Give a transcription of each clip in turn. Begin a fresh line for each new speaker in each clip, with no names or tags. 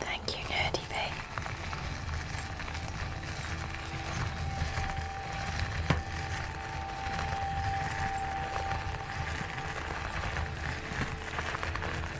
Thank you, Nerdy Bay.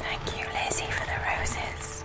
Thank you, Lizzie, for the roses.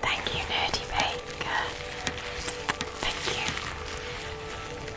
Thank you, Nerdy Baker. Thank you.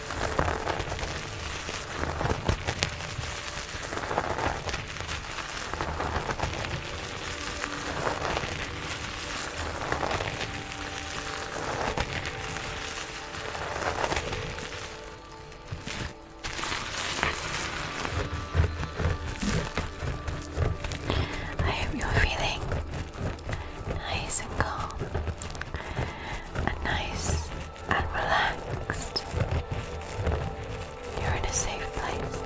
I hope you're feeling nice and calm and nice and relaxed. You're in a safe place.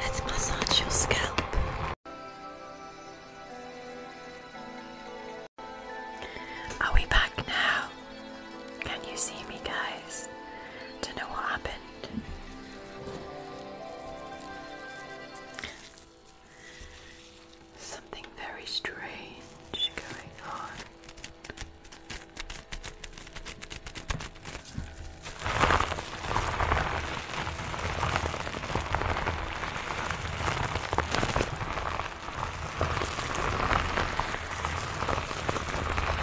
Let's massage your scalp. Are we back now? Can you see me, guys? Don't know what happened. Something very strange going on.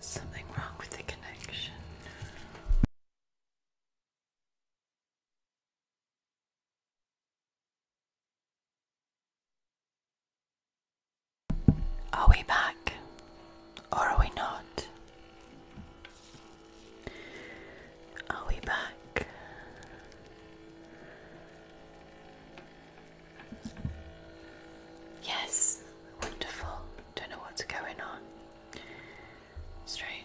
Something wrong with the connection. Are we back or are we not? Are we back? Yes, wonderful. Don't know what's going on. Strange.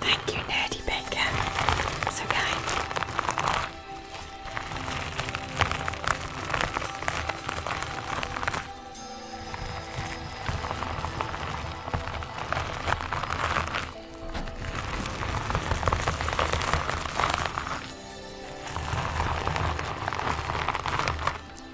Thank you, Nerdy Baker. So kind.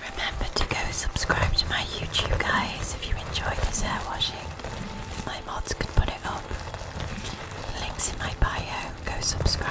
Remember to go subscribe to my YouTube, guys, if you enjoy this hair washing. My mods can put it up. Links in my bio. Go subscribe.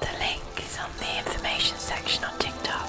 The link is on the information section on TikTok.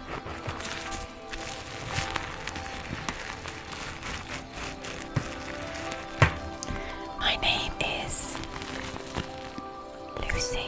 My name is Lucy.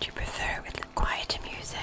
Do you prefer with the quieter music?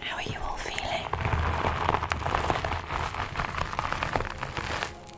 How are you all feeling?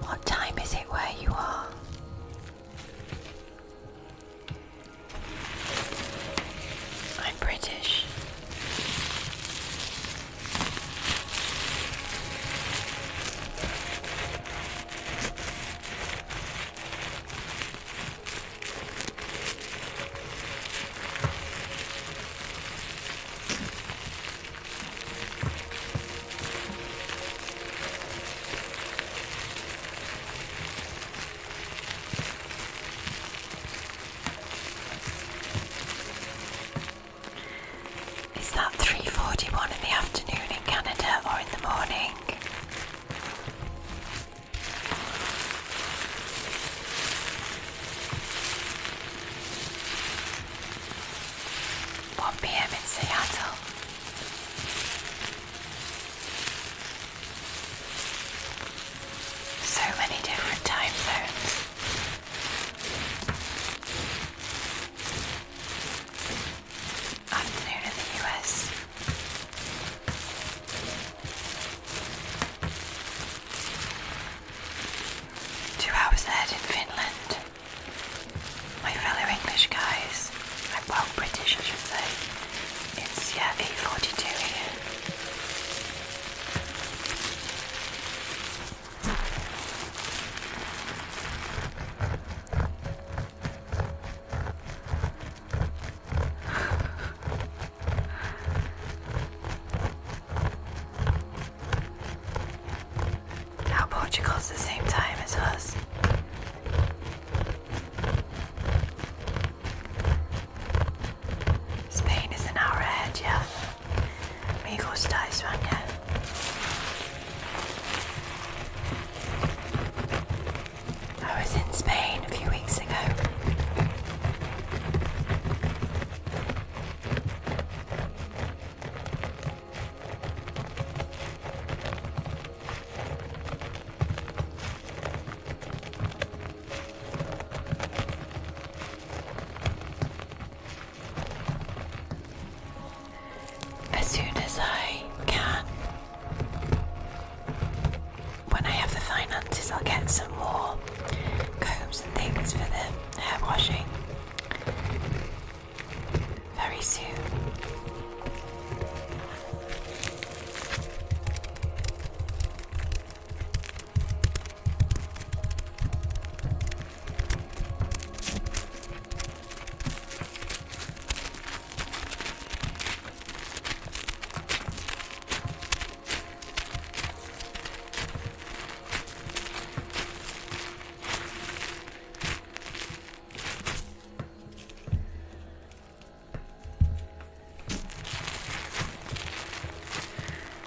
What time is it where you are? I'm British. Is that 3:41 in the afternoon in Canada or in the morning? 1 p.m. in Seattle. So many different time zones. Afternoon in the US. Two hours ahead in Finland. My fellow English guys, I'm well British I should say. It's yeah, Forty Two here. Now Portugal's the same time as us. Spain is an hour ahead, yeah. Me gusta España. I was in Spain a few weeks ago. As soon as I can, when I have the finances, I'll get some more combs and things for the hair washing very soon.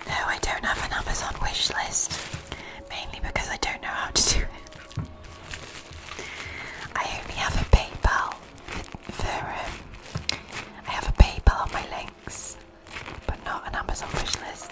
No, I don't have an Amazon wish list, mainly because I don't know how to do it. I only have a PayPal um, I have a PayPal on my links but not an Amazon wish list.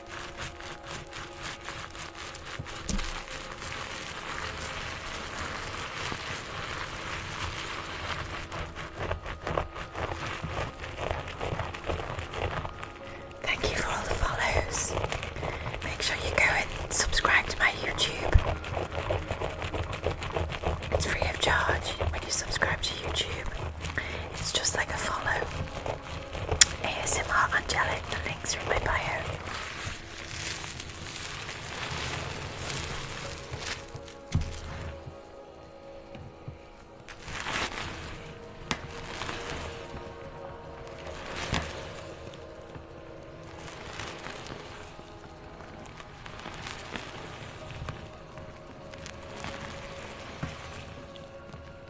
Thank you for all the follows. Make sure you go and subscribe to my YouTube. It's free of charge when you subscribe to YouTube. It's just like a follow. ASMR Angelic, the links are in my bio.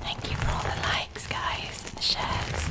Thank you for all the likes, guys, and the shares.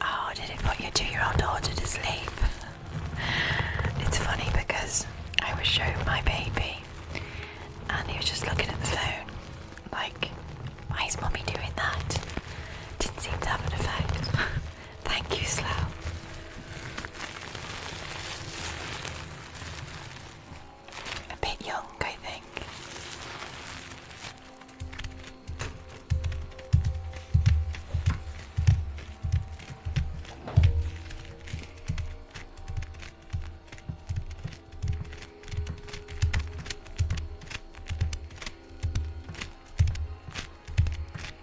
Oh, did it put your two year old daughter to sleep? it's funny because I was showing my baby and he was just looking at the phone like, why is mommy doing that? Didn't seem to have an effect. Thank you, Slow. A bit young, I think.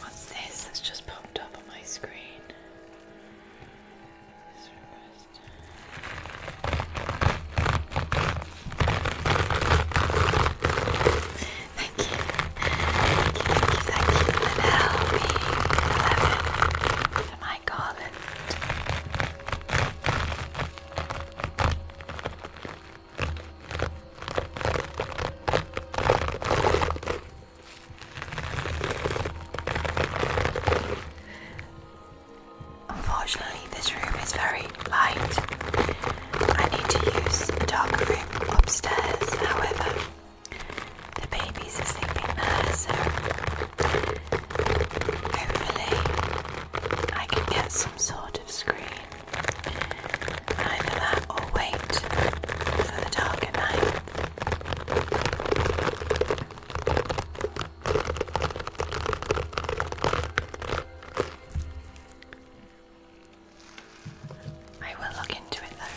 What's this that's just popped up on my screen? thank you. Thank you, thank you, thank you, Liddell, being 11, my garland. Unfortunately, this room is very light. I need to use a darker room upstairs, however, the babies are sleeping there, so hopefully, I can get some sort of screen Either that wait for the dark at night. I will look into it though.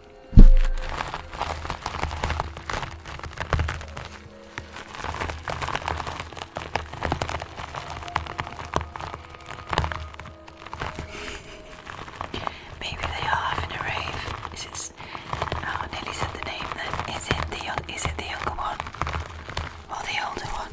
Maybe they are having a rave. Is it? Oh, Nelly said the name. Then is it the young? Is it the younger one or the older one?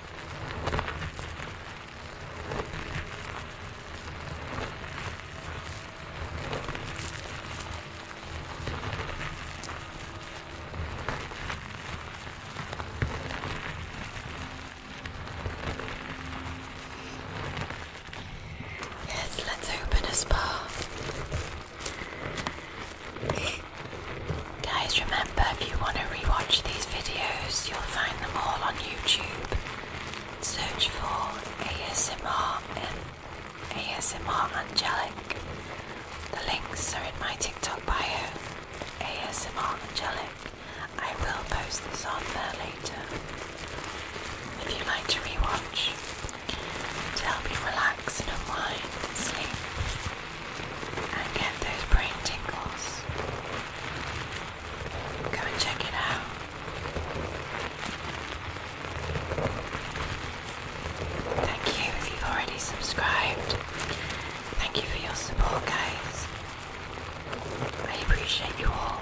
Yes, let's open a spa. Guys, remember if you want to rewatch these videos, you'll find them all on YouTube. Search for ASMR and ASMR Angelic. The links are in my TikTok bio. ASMR Angelic. I will post this on there later. If you'd like to rewatch, to help you relax and unwind sleep and get those brain tingles. Go and check it out. Thank you if you've already subscribed. Thank you for your support, guys. I appreciate you all.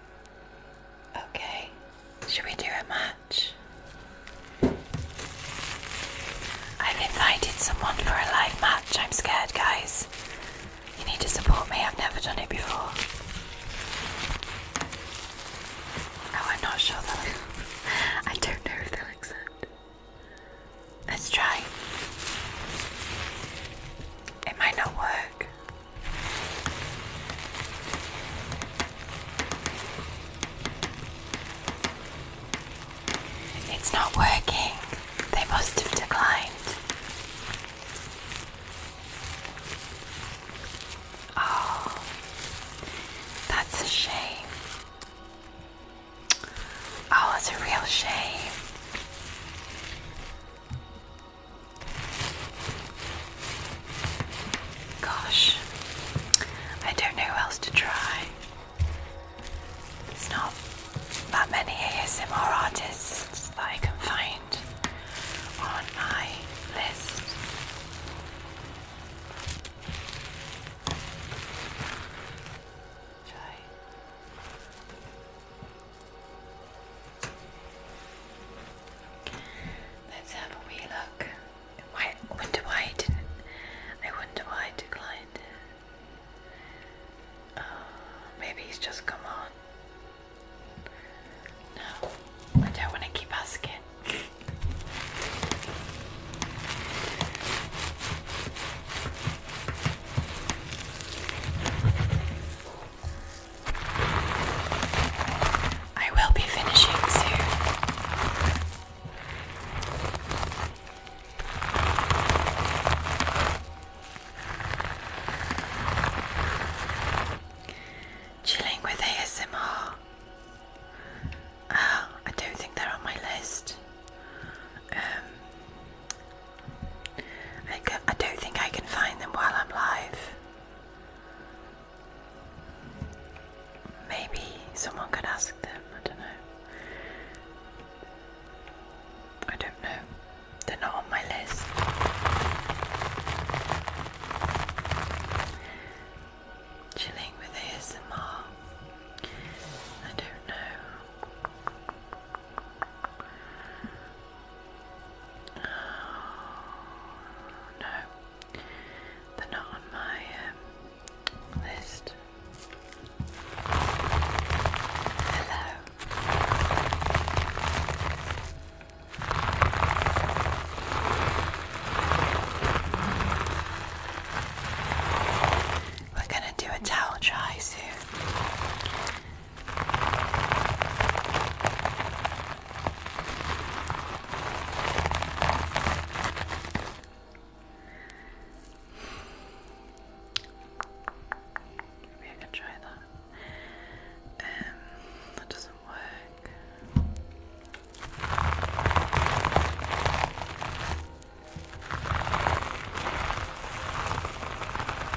Okay, should we do a match? I've invited someone for a live match. I'm scared, guys. You need to support me. I've never done it before. Oh, I'm not sure I don't know if they'll accept. Let's try. It might not work. It's not working. They must have declined. Oh, that's a shame. Oh, it's a real shame. Gosh, I don't know who else to try. There's not that many ASMR artists that I can find on my list. Shall Let's have a wee look. Why wonder why I didn't I wonder why I declined. Oh, maybe he's just come on. No, I don't want to keep asking. I will be finishing soon. Chilling with ASMR. Oh, ah, I don't think they're on my list. Um, I, I don't think I can find them while I'm live. Maybe someone could ask them, I don't know. I don't know. They're not on my list. Chilling with ASMR. I don't know no, they're not on my um, list. Hello. We're going to do a towel try soon. Maybe I can try that. Um, that doesn't work.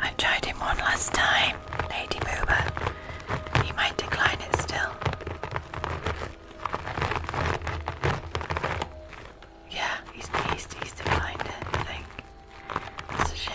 I tried him one last time, Lady Booba. He might decline it still. Yeah, he's he's he's defined it, I think. It's a shame.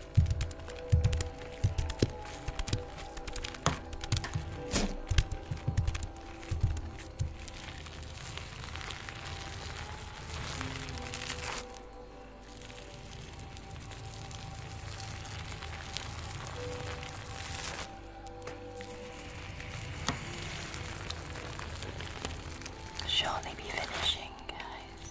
she Surely be finishing, guys.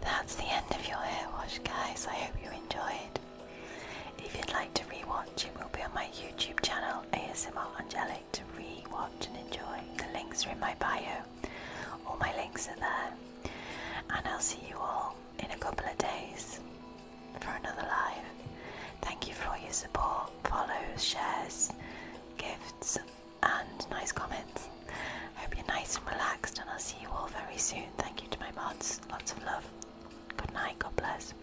That's the end of your hair wash, guys. I hope you enjoyed. If you'd like to rewatch, it will be on my YouTube channel, ASMR Angelic, to rewatch and enjoy. The links are in my bio. All my links are there. And I'll see you all in a couple of days for another live. Thank you for all your support, follows, shares, gifts, and nice comments. Hope you're nice and relaxed, and I'll see you all very soon. Thank you to my mods. Lots of love. Good night. God bless.